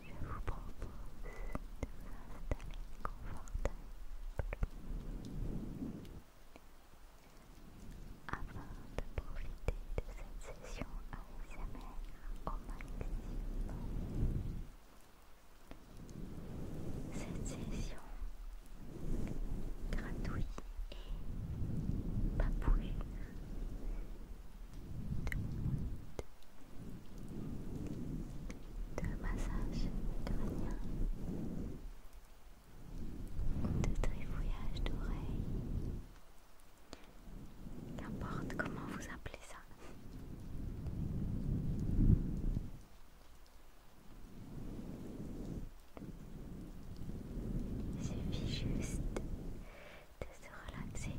Je vous propose de vous installer confortablement afin de profiter de cette session ASMR en maximum. Cette session gratuite et papouille de massage ou de trifouillage d'oreilles. Qu'importe comment vous appelez ça. Il suffit juste de se relaxer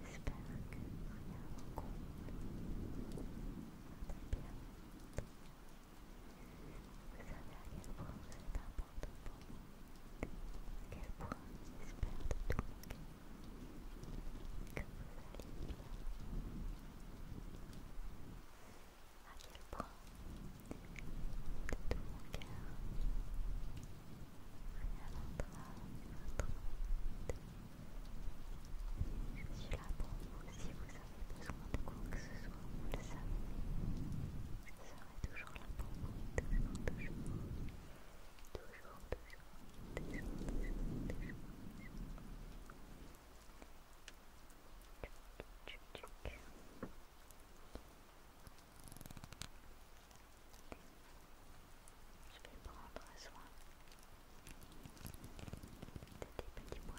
J'espère que rien ne compte. Très bien. Vous savez à quel point c'est important pour moi. À quel point j'espère de tout mon cœur que vous allez bien. À quel point de tout mon cœur que vous allez rien à là pour si vous avez besoin de quoi que ce soit, vous le savez. toujours là pour Je vais prendre soin de tes petits poils.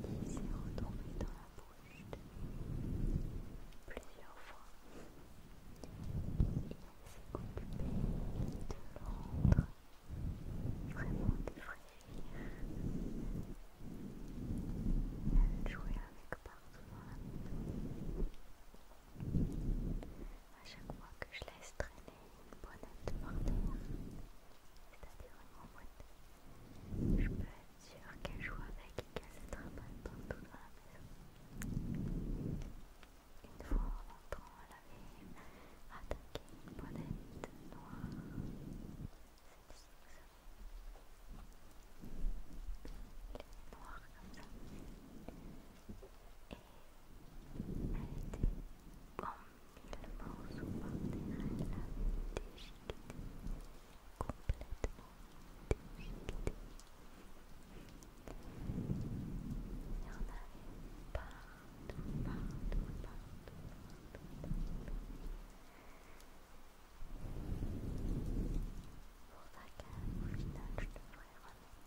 Il s'est retrouvé dans la bouche plusieurs fois. Il s'est occupé de le rendre vraiment Il a joué avec partout dans la maison à chaque fois que je laisse traîner une bonnette par terre, c'est-à-dire une boîte, je peux être sûre qu'elle joue avec et qu'elle se trimballe partout dans la maison. Une fois en rentrant, elle avait attaqué une bonnette noire. Elle est noire comme ça. Et elle était bonne. Et le morceau intégral a déchiqueté, complètement déchiqueté. Il y en avait partout, partout, partout, partout. partout. Pour ça qu'au final, je devrais remonter.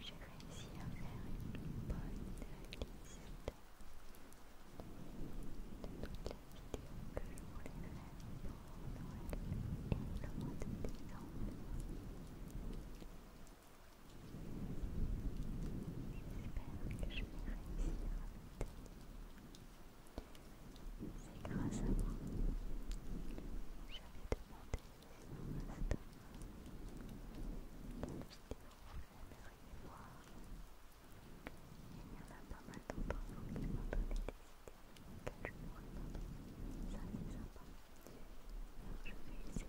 J'ai réussi à faire une bonne liste de toutes les vidéos que je voulais faire pour Noël et le mois de décembre. J'espère que je vais réussir à c'est grâce à moi. J'avais demandé vidéo vous Il y en a pas mal d'autres qui m'ont donné des idées Ça c'est sympa. je vais essayer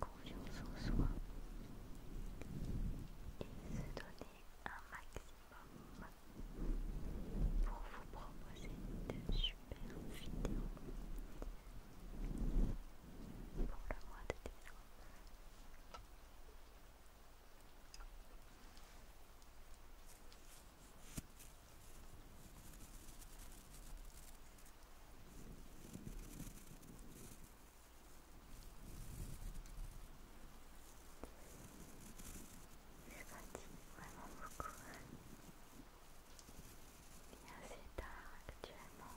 confiance en soi et se donner un maximum pour vous proposer de super vidéos pour le mois de décembre. Je fatigue vraiment beaucoup. Il est assez tard actuellement.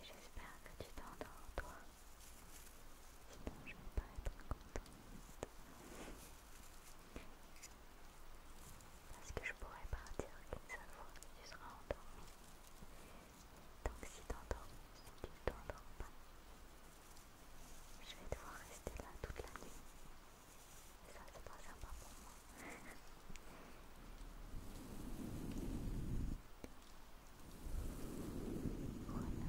Et j'espère que tu t'endors, toi. Sinon, je vais pas être contente. Parce que je pourrais partir qu'une seule fois que tu seras endormi. Donc si t'endors, si tu ne t'endors pas, je vais devoir rester là toute la nuit. ça c'est pas sympa pour moi. voilà.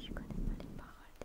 Je connais pas les paroles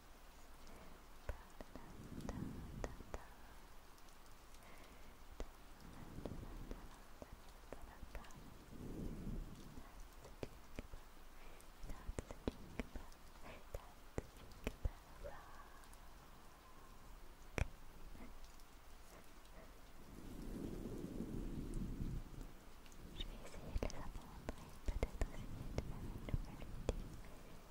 Je vais essayer de les apprendre et peut-être essayer de faire une nouvelle Ta